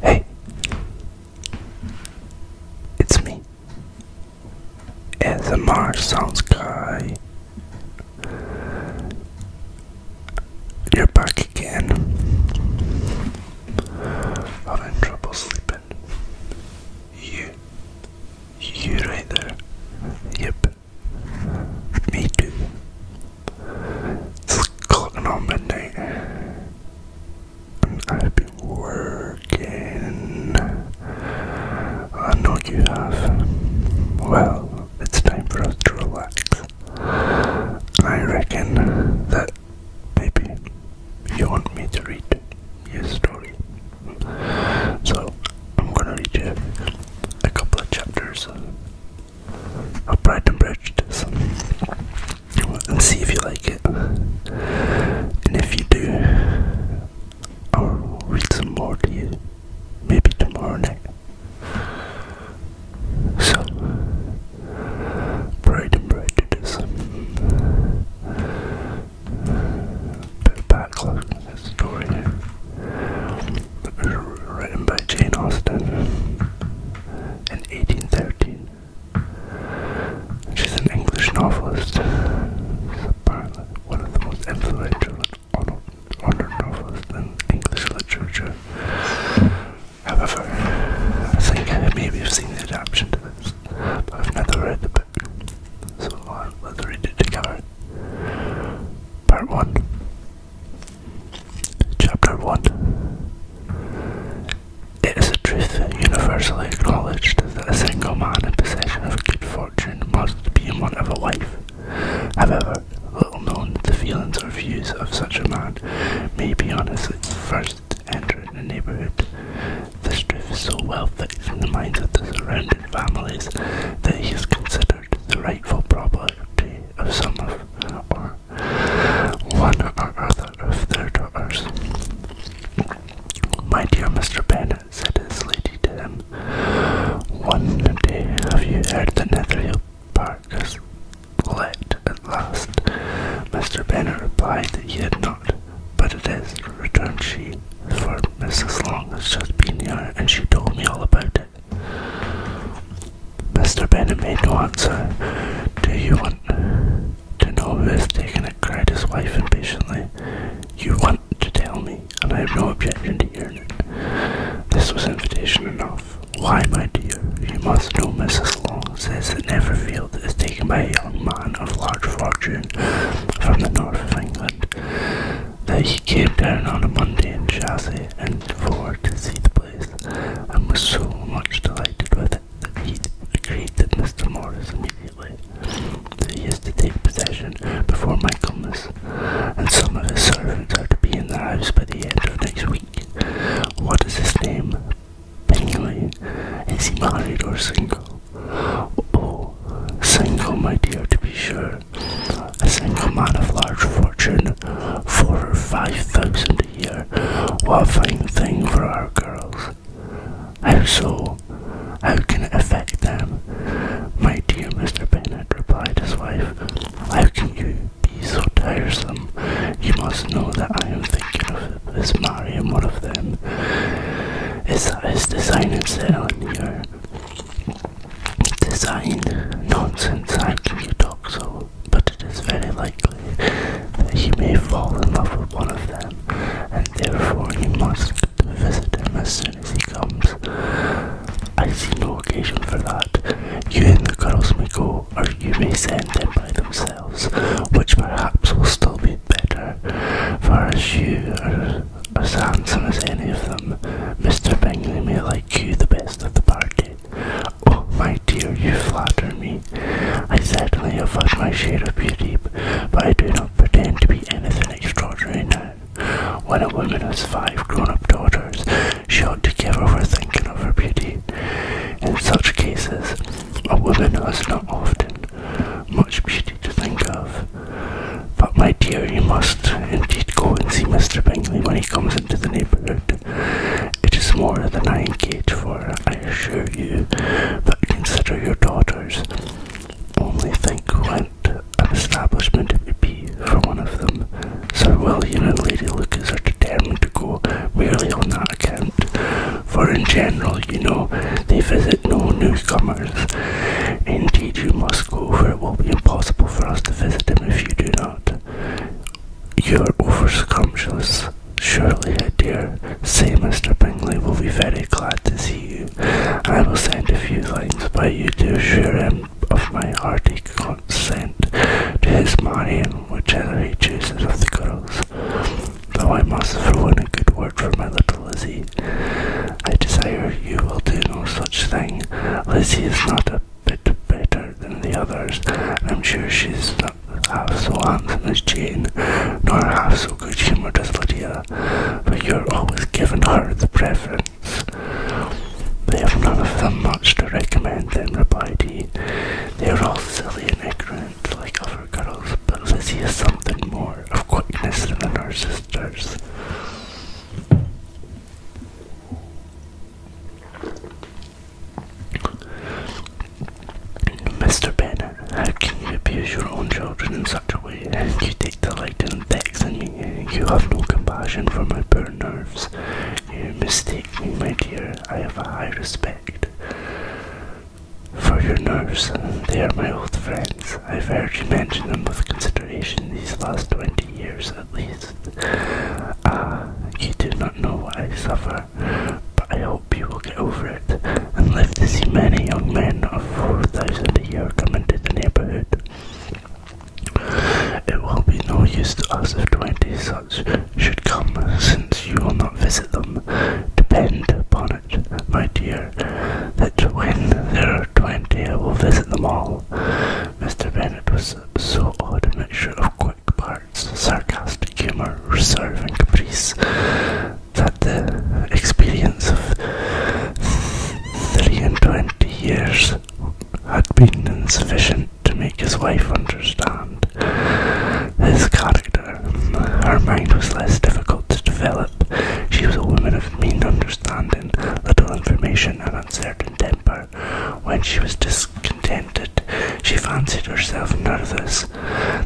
Hey, it's me, as a March Sounds Guy. You're back again. Having trouble sleeping. You, you right there. Yep, me too. It's clocking on midnight. And I've been working. I know you have. Well, it's time for us to relax. I reckon that maybe you want me to read your story. So I'm gonna read you a couple of chapters I'll Pride and Prejudice and see if you like it. And if you do, I'll read some more to you maybe tomorrow night. So, Pride and Prejudice. Bit of backlog in that story written by Jane Austen in 1813. She's an English novelist, apparently one of the most influential and honoured novelists in English literature. However, I think maybe I have seen the adaptation of this, but I've never read the book, so I'll let's read it together. Part 1 Chapter 1 It is a truth universally acknowledged that a single man in possession of good fortune must be in want of a wife. However, little known the feelings or views of such a man may be on his first entering the neighbourhood. This strife is so well fixed in the minds of the surrounding families that he is considered the rightful property of some of or one or other of their daughters. My dear Mr. Bennet, said his lady to him, one day have you heard the Netherhill Park is let at last? Mr. Bennet replied that he had not, but it is, returned she, for Mrs. Long has just been here, and she told me all about it. Mr. no answer. do you want to know who has taken it? cried his wife impatiently. You want to tell me, and I have no objection to hearing it. This was invitation enough. Why, my dear, you must know Mrs. Long says that Neverfield is taken by a young man of large fortune from the north of England. That he came down on a Monday in Chelsea and for to see the I and was so much delighted with it that he agreed that Mr. Morris immediately that he is to take possession before Michaelmas, and some of his servants are to be in the house by the end of next week. What is his name? Bingley. Is he married or single? Oh, single, my dear, to be sure a single man of large fortune, four or five thousand a year. What a fine thing for our girls. How so? How can it affect them? My dear Mr. Bennet, replied his wife, how can you be so tiresome? You must know that I am thinking of his marrying one of them. Is that his design in settling here? design nonsense hiking a dog so, but it is very likely that he may fall in love with one of them, and therefore he must visit him as soon as he comes. I see no occasion for that. You and the girls may go, or you may send them by themselves, which perhaps will still be better, for as you are as handsome as any of them, Mr. Bingley may like you the best of the party. Oh, my dear, you flatter me. I certainly have had my share of beauty, but I do not pretend to be anything extraordinary now. When a woman has five grown up daughters, she ought to give over thinking of her beauty. In such cases, a woman has not often much beauty to think of. But, my dear, you must indeed go and see Mr. Bingley when he comes into the neighbourhood. It is more than I engage for, I assure you, but consider your daughters. Only think what an establishment it would be for one of them. Sir William and Lady Lucas are determined to go merely on that account, for in general, you know, they visit no newcomers. Indeed, you must go, for it will be impossible for us to visit them if you do not. You are over scrumptious, surely, I dear. Say, Mr. Bingley will be very glad to see you. I will send a few things, by you to assure him of my hearty consent to his marrying whichever he chooses of the girls. Though I must throw in a good word for my little Lizzie. I desire you will do no such thing. Lizzie is not a bit better than the others, I'm sure she's not half so handsome as Jane, nor half so good humoured as Lydia, but you're always giving her the preference. They have none of them much to recommend them, replied he. They are all silly and ignorant like other girls, but Lizzie is something more of quickness than the her sisters. Mr. Bennett, how can you abuse your own children in such a way? You take delight in vexing me. You have no compassion for my poor nerves. You mistake me, my dear. I have a high respect for your nerves. They are my old friends. I've heard you mention them with consideration these last twenty years at least. Ah, you do not know what I suffer, but I hope you will get over it and live to see many young men of 4,000 a year come into the neighbourhood. It will be no use to us if 20 such should come, since you will not visit them. Depend upon it, my dear, that when there are 20 I will visit them all. Mr. Bennett was so odd a mixture of quick parts, sarcastic humour, reserve, and caprice that the experience of three and twenty years had been insufficient to make his wife understand his character. Her mind was less difficult to develop. She was a woman of mean understanding, little information, and uncertain temper. When she was discontented, she fancied herself nervous.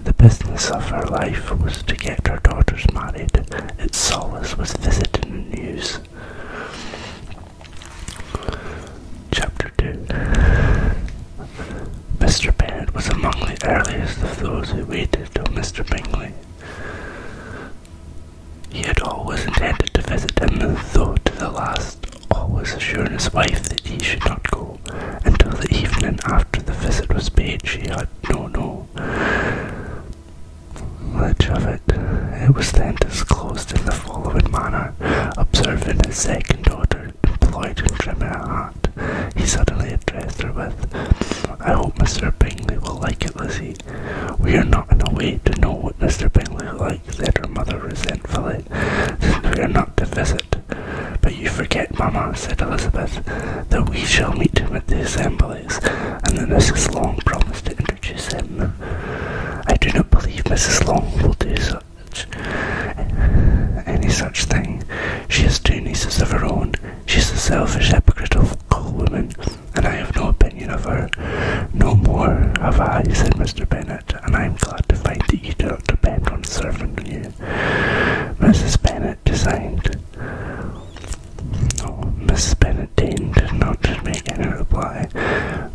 The business of her life was to get her daughters married. Its solace was visiting news. Chapter 2 Mr. Bennet was among the earliest of those who waited on Mr. Bingley. He had always intended to visit him, though to the last, always assuring his wife that he should not go. Until the evening after the visit was paid, she had no no. Much of it. It was then disclosed in the following manner. Observing his second daughter employed in trimming her hat, he suddenly addressed her with, I hope Mr. Bingley will like it, Lizzie. We are not in a way to know what Mr. Bingley likes, said her mother resentfully, since we are not to visit. But you forget, Mamma, said Elizabeth, that we shall meet him at the assemblies, and that Mrs. Long promised to introduce him. I do not believe Mrs. Long will do such any such thing. She has two nieces of her own. She is a selfish, hypocritical woman and I have no opinion of her. No more have I, said Mr. Bennet, and I am glad to find that you do not depend on serving you. Mrs. Bennet designed. Oh, Mrs. Bennet deigned not make any reply,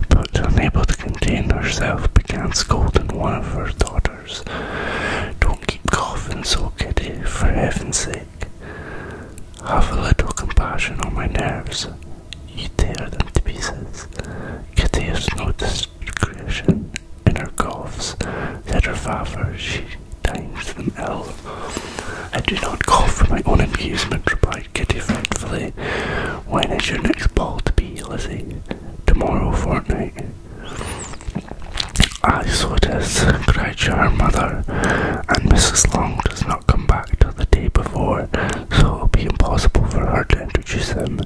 but unable to contain herself, began scolding one of her daughters. Don't keep coughing so, Kitty, for heaven's sake. Have a little compassion on my nerves. You tear them to pieces. Kitty has no discretion in her coughs. Said her father, she times them ill. I do not cough for my own amusement, replied Kitty fretfully. When is your next ball to be, Lizzie? Tomorrow fortnight. Ah, so it is, cried her mother, and Mrs. Long does not come back till the day before, so it will be impossible for her to introduce them,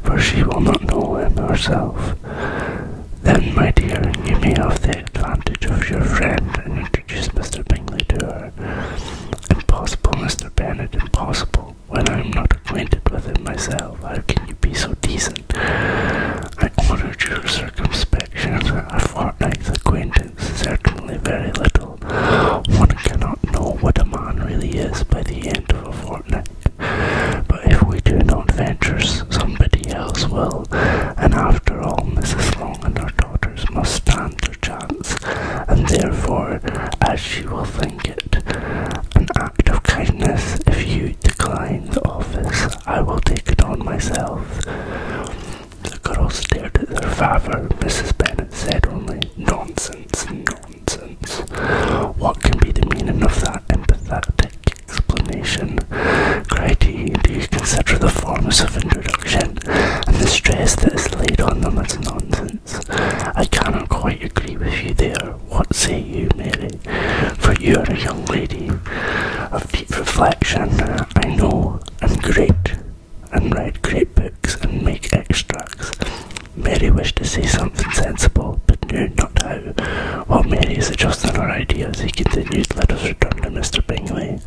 for she will not know him herself. Then, my dear, you may have the advantage of your friend and introduce Mr. Bingley to her. Impossible, Mr. Bennet, impossible. When I am not acquainted with him myself, how can you be so decent? I honoured your circumspection a fortnight's acquaintance certainly very little. One cannot know what a man really is by the end of a fortnight. But if we do not venture, somebody else will. And after all, Mrs. Long and her daughters must stand their chance, and therefore, as she will think it, an act of kindness if you decline the office, I will take it on myself. The girl stared at their father. Mrs. Bennet said only, Nonsense, nonsense. What can be the meaning of that emphatic explanation? cried he. Do you consider the forms of introduction and the stress that is laid on them as nonsense? I cannot quite agree with you there. What say you, Mary? For you are a young lady of deep reflection, I know, and great and read great books and make extracts. Mary wished to see something sensible, but knew not how. While Mary is adjusting her ideas, he continued, Let us return to Mr. Bingley.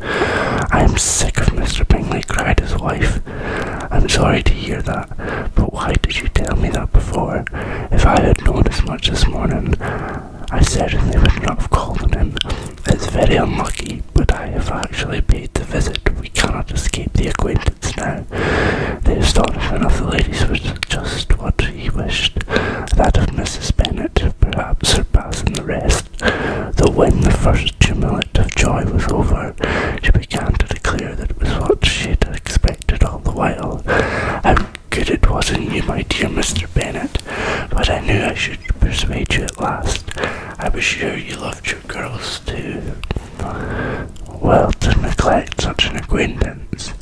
I am sick of Mr. Bingley, cried his wife. I'm sorry to hear that, but why did you tell me that before? If I had known as much this morning, I certainly would not have called on him. It's very unlucky, but I have actually paid the visit. We cannot escape the acquaintance now. The astonishment of the ladies was just what he wished, that of Mrs. Bennet perhaps surpassing the rest, though when the first tumult of joy was over, she began to declare that it was what she had expected all the while. How good it was in you, my dear Mister. Mr. Bennet, but I knew I should persuade you at last. I was sure you loved your girls too. Well, to neglect such an acquaintance.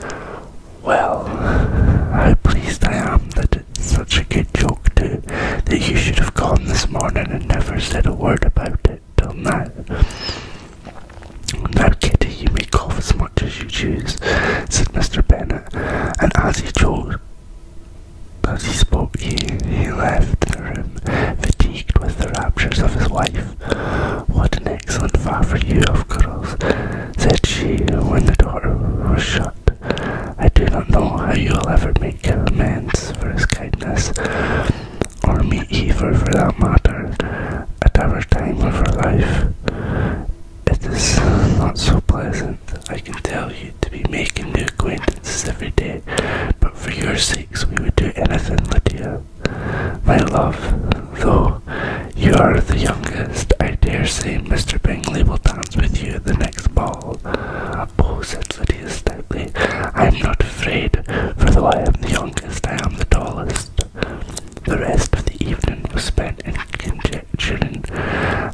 Well, how pleased I am that it's such a good joke too, that you should have gone this morning and never said a word about it till now. I'm not kidding; you may cough as much as you choose, said Mr. Bennet, and as he chose as he spoke, he, he left the room, fatigued with the raptures of his wife. What an excellent father you have, girls, said she when the door was shut. I do not know how you will ever make amends for his kindness, or me either for that matter, at our time of your life. It is not so pleasant I can tell you, to be making new acquaintances every day, but for your sakes we would do anything, Lydia. My love, though you are the youngest, I dare say Mr. Bingley will dance with you at the next ball. Oh, said Lydia stoutly, I am not afraid, for though I am the youngest, I am the tallest. The rest of the evening was spent in conjecture protection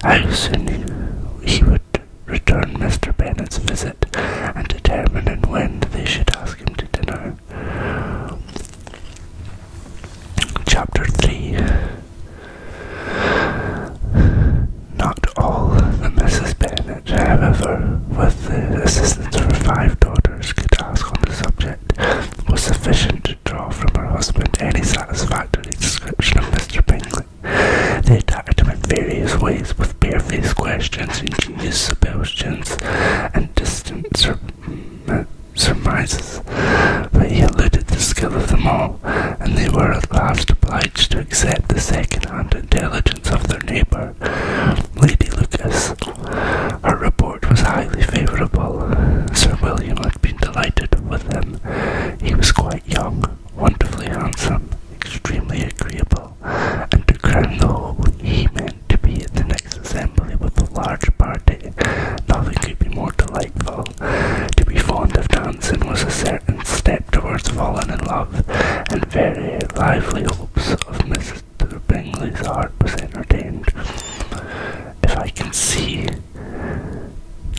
house, and he would return Mr. Bennet's visit and determine and when they should ask him to dinner. Chapter 3 Not all the Mrs. Bennet, however, with the assistance of her five daughters, could ask on the subject was sufficient to draw from her husband any satisfactory description of Mr. Bingley. They attacked him in various ways with barefaced questions, ingenious suggestions, and distant mm, surmises, but he eluded the skill of them all, and they were at last obliged to accept the second-hand intelligence of their neighbour, Lady Lucas. Her report was highly favourable. Sir William had been delighted with him, he was quite young, wonderfully handsome, extremely agreeable, and to crown the whole, he meant to be at the next assembly with a large party. Nothing could be more delightful. To be fond of dancing was a certain step towards falling in love, and very lively hopes of Mister. Bingley's heart was entertained. If I can see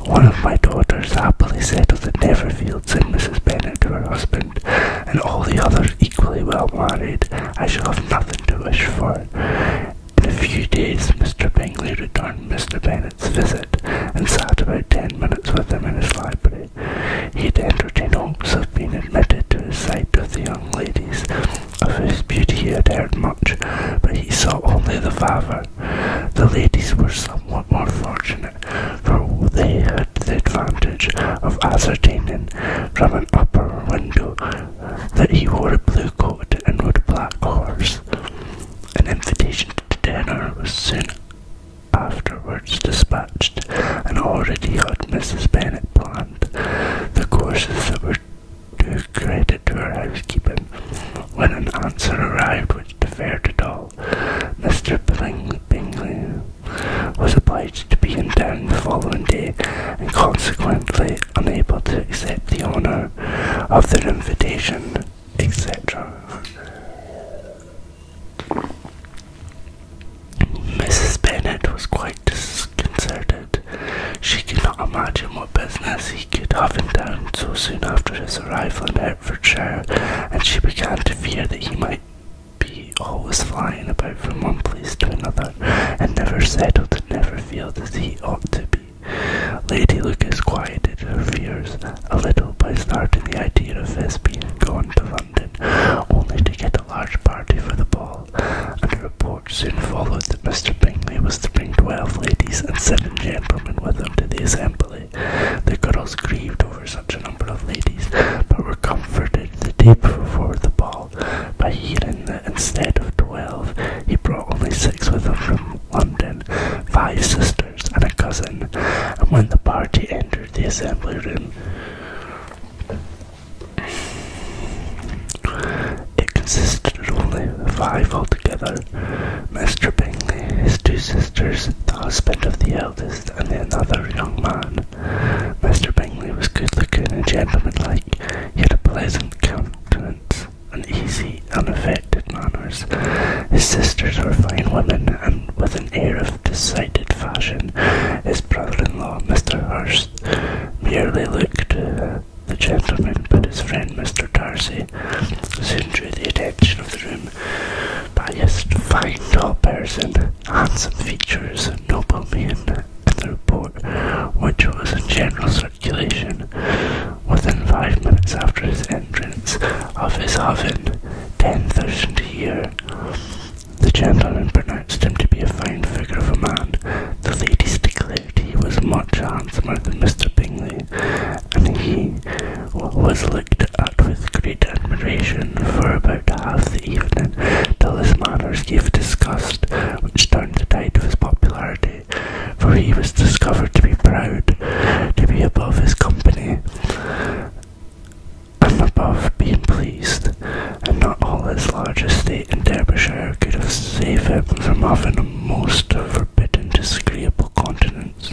one of my daughters happily settled at Neverfield, said Mrs. Bennet to her husband, and all the others equally well married. I shall have nothing to wish for. In a few days, Mr. Bingley returned Mr. Bennet's visit, and sat about ten minutes with him in his library. He had entertained hopes of being admitted to the sight of the young ladies, of whose beauty he had heard much, but he saw only the father. The ladies were somewhat more fortunate, for they had the advantage of ascertaining from an upper window that he wore a blue coat and rode a black horse. An invitation to dinner was soon afterwards dispatched, and already had Mrs. Bennet planned the courses that were due credit to her housekeeping. When an answer arrived which deferred it all, Mr. Bingley was obliged to be in town the following day, and consequently unable to accept the honour of their invitation, etc. Mrs. Bennet was quite disconcerted. She could not imagine business he could have in town so soon after his arrival in Hertfordshire, and she began to fear that he might be always flying about from one place to another, and never settled and never felt as he ought to be. Lady Lucas quieted her fears a little by starting the idea of his being gone to London, only to get a large party for the ball, and a report soon followed Mr. Bingley was to bring twelve ladies and seven gentlemen with him to the assembly. The girls grieved over such a number of ladies, but were comforted the day before the ball by hearing that instead of twelve, he brought only six with him from London, five sisters and a cousin, and when the party entered the assembly room, it consisted only of five altogether, Mr. Bingley, his two sisters, the husband of the eldest and another young man. Mr. Bingley was good looking and gentlemanlike, he had a pleasant countenance, and easy, unaffected manners. His sisters were fine women, and with an air of decided fashion, his brother in law, Mr. Hurst, merely looked uh, the gentleman, but his friend Mr. Darcy, soon drew the attention of the room by his fine tall person, handsome features, noble mien, and the report, which was in general circulation within five minutes after his entrance, of his having ten thousand a year. The gentleman pronounced him to be a fine figure of a man, the ladies declared he was much handsomer than Mr. Bingley, and he was looked at with great admiration for about half the evening, till his manners gave disgust, which turned the tide of his popularity, for he was discovered to be proud, to be above his company, and above being pleased, and not all his large estate in Derbyshire could have saved him from having a most forbidden, disagreeable continents,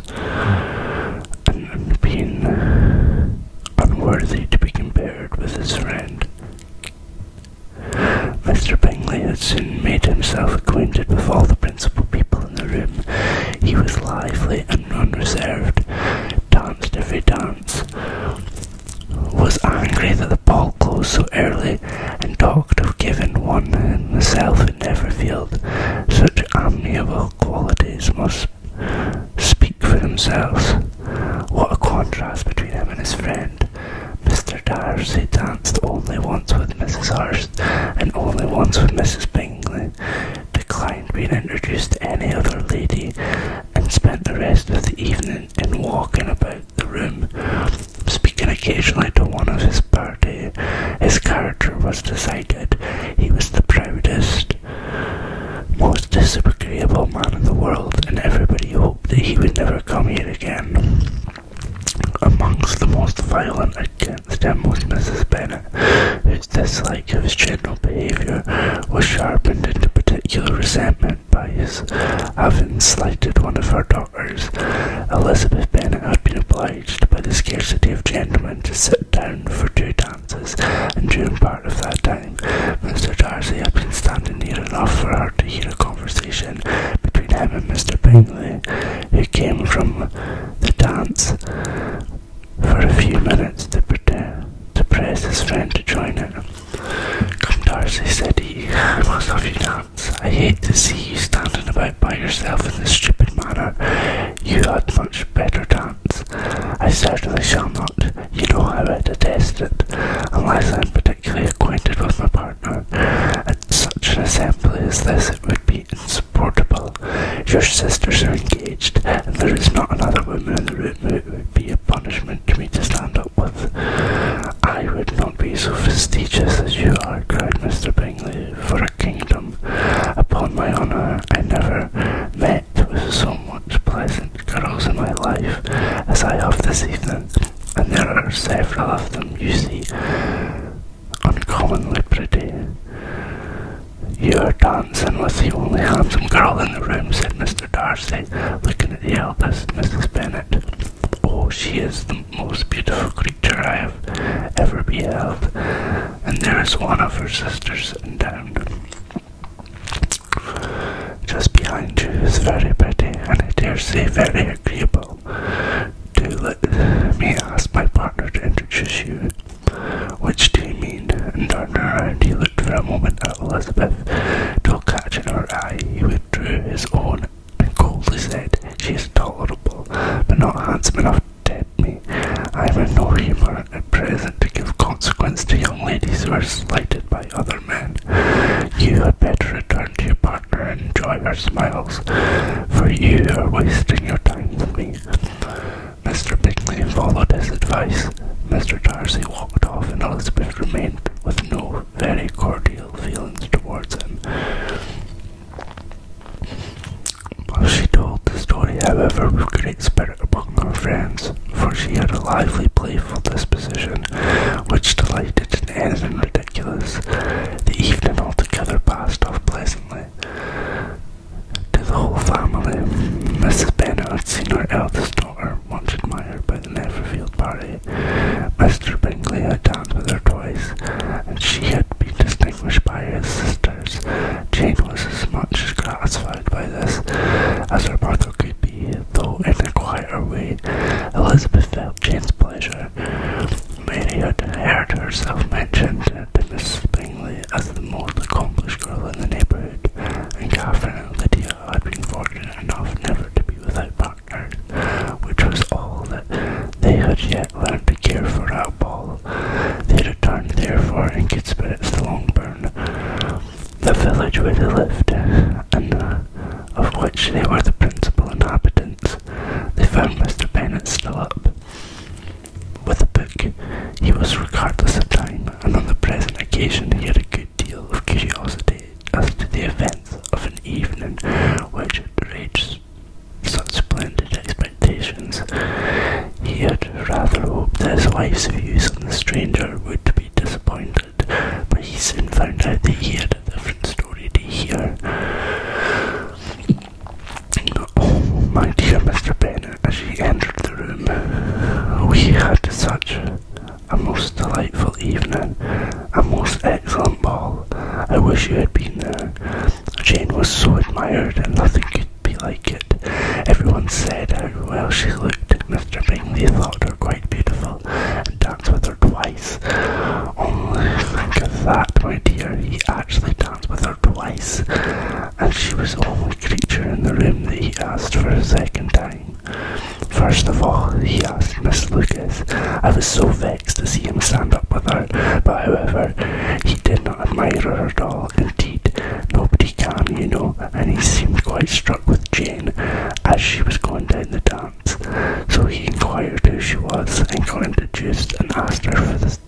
and being unworthy to be compared with his friend. Mr. Bingley had soon made himself acquainted with all the principal people in the room. He was lively and unreserved, danced every dance, was angry that the ball closed so early and talked of giving one himself in every field. Such amiable qualities must speak for themselves. What a contrast between him and his friend. Mr. Darcy danced only once with Mrs. Hurst, and only once with Mrs. Bingley, declined being introduced to any other lady, and spent the rest of the evening in walking about the room, speaking occasionally to one of his party. His character was decided. He was the proudest, most disagreeable man in the world, and everybody hoped that he would never come here again. Amongst the most violent against him was Mrs. Bennet, whose dislike of his general behaviour was sharpened into particular resentment by his having slighted one of her daughters. Elizabeth Bennet had been obliged by the scarcity of gentlemen to sit down for two dances, and during part of that time, Mr. Darcy had been standing near enough for her to hear a conversation between him and Mr. Bingley, who came from the dance for a few minutes to pretend to press his friend to join him. Come, Darcy, said he, I must have you now. I hate to see you standing about by yourself in this stupid manner. You had much better dance. I certainly shall not. You know how I detest it, unless I am particularly acquainted with my partner. At such an assembly as this, it would be insupportable. Your sisters are engaged, and there is not another woman in the room it would be a punishment to me to stand up with. I would be so fastidious as you are, cried Mr. Bingley. For a kingdom, upon my honour, I never met with so much pleasant girls in my life as I have this evening, and there are several of them, you see, uncommonly pretty. You are dancing with the only handsome girl in the room, said Mr. Darcy, looking at the eldest, Mrs. Bennet. Oh, she is the most beautiful creature I have ever beheld, and there is one of her sisters in endowed just behind you is very pretty, and I dare say very agreeable. Do let me ask my partner to introduce you. Which do you mean? And turning around, he looked for a moment at Elizabeth till catching her eye, he withdrew his own and coldly said, She is tolerable, but not handsome enough to tempt me. I have no humour at present to give consequence to young ladies who are slighted by other men. You had better return to your partner and enjoy her smiles, for you are wasting your time with me. Mr. Bingley followed his advice. Mr. Darcy walked off, and Elizabeth remained with no very cordial feelings towards him. While she told the story, however, with great spirit among her friends, for she had a lively, playful disposition, which delighted in anything ridiculous. The evening altogether passed off pleasantly. To the whole family, Mrs. Bennet had seen her eldest daughter, much admired by at the Neverfield party. Mr. Bingley had danced with her twice, and she had been distinguished by his sisters. Jane was as much gratified by this as her mother could be, though in a quieter way. Elizabeth felt Jane's pleasure. Mary had heard herself mentioned to Miss Bingley as the most accomplished girl in the neighbourhood, and Catherine and Lydia had been fortunate enough never to be without which was all that they had yet learned to care for at Ball. They returned, therefore, in good spirits to Longbourn, the village where they lived, and uh, of which they were the principal inhabitants. They found Mr. Bennet still up with a book. He was regardless of time, and on the present occasion he had a good deal of curiosity as to the events of an evening which had reached such splendid expectations. He had rather hoped that his wife's views on the stranger would be disappointed, but he soon found out that he had a different story to hear. Oh, my dear Mr. Bennet, as she entered the room, we had such a most delightful evening, a most excellent ball. I wish you had been there. Jane was so admired, and nothing could be like it. Everyone said how well she looked. Mr. Bingley thought her quite beautiful, and danced with her twice. Only think of that, my dear, he actually danced with her twice, and she was the only creature in the room that he asked for a second time. First of all, he asked Miss Lucas. I was so vexed to see him stand up with her, but however, he did not admire her at all. Indeed, nobody can, you know, and he seemed quite struck with Jane as she was going down the dance. So he inquired who she was and got introduced and asked her for the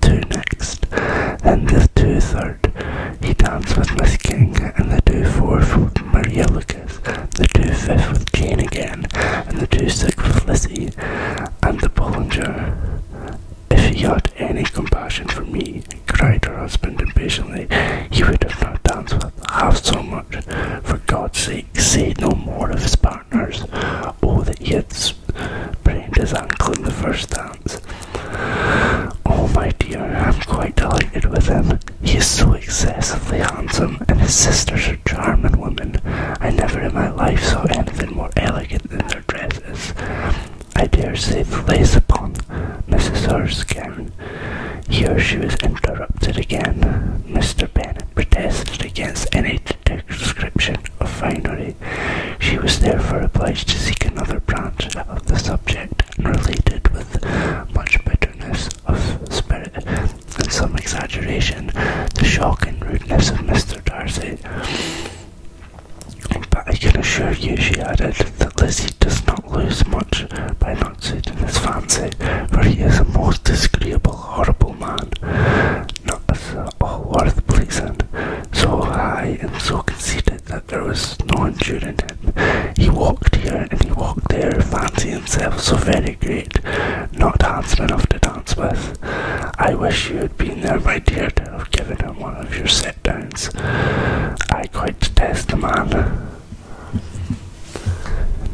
two next, and the two third. He danced with Miss King and the two fourth with Maria Lucas. Thomas, the two fifth with Jane again, and the two sixth with Lizzie, and the Ballinger. If he had any compassion for me, cried her husband impatiently, he would have not danced with half so much. For God's sake, say no more of his partners. Oh, that he had sprained his ankle in the first dance. Oh, my dear, I'm quite delighted with him. He is so excessively handsome, and his sisters are charming women. I never in my life saw anything more elegant than their dresses. I dare say the lace upon Mrs. Erskine. Here she was interrupted again. Mr. Bennet protested against any description of finery. She was therefore obliged to seek another branch of the subject, and related with much bitterness of spirit, and some exaggeration, the shock and rudeness of Mr. Darcy. But I can assure you, she added, that Lizzie does not lose much by not sitting in his fancy, for he is a most disagreeable, horrible man, not at all worth pleasing, so high and so conceited that there was no it. He walked here and he walked there, fancying himself so very great, not handsome enough to dance with. I wish you had been there, my dear, to have given him one of your set downs. I quite detest the man.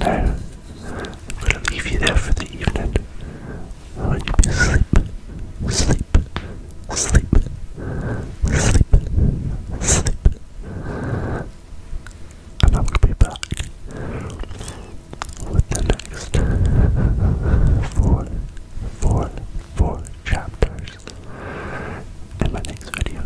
Now, I'm going to leave you there for the evening. I oh, want you to sleep, sleep, sleep, sleep, sleep and I will be back with the next four, four, four chapters in my next video.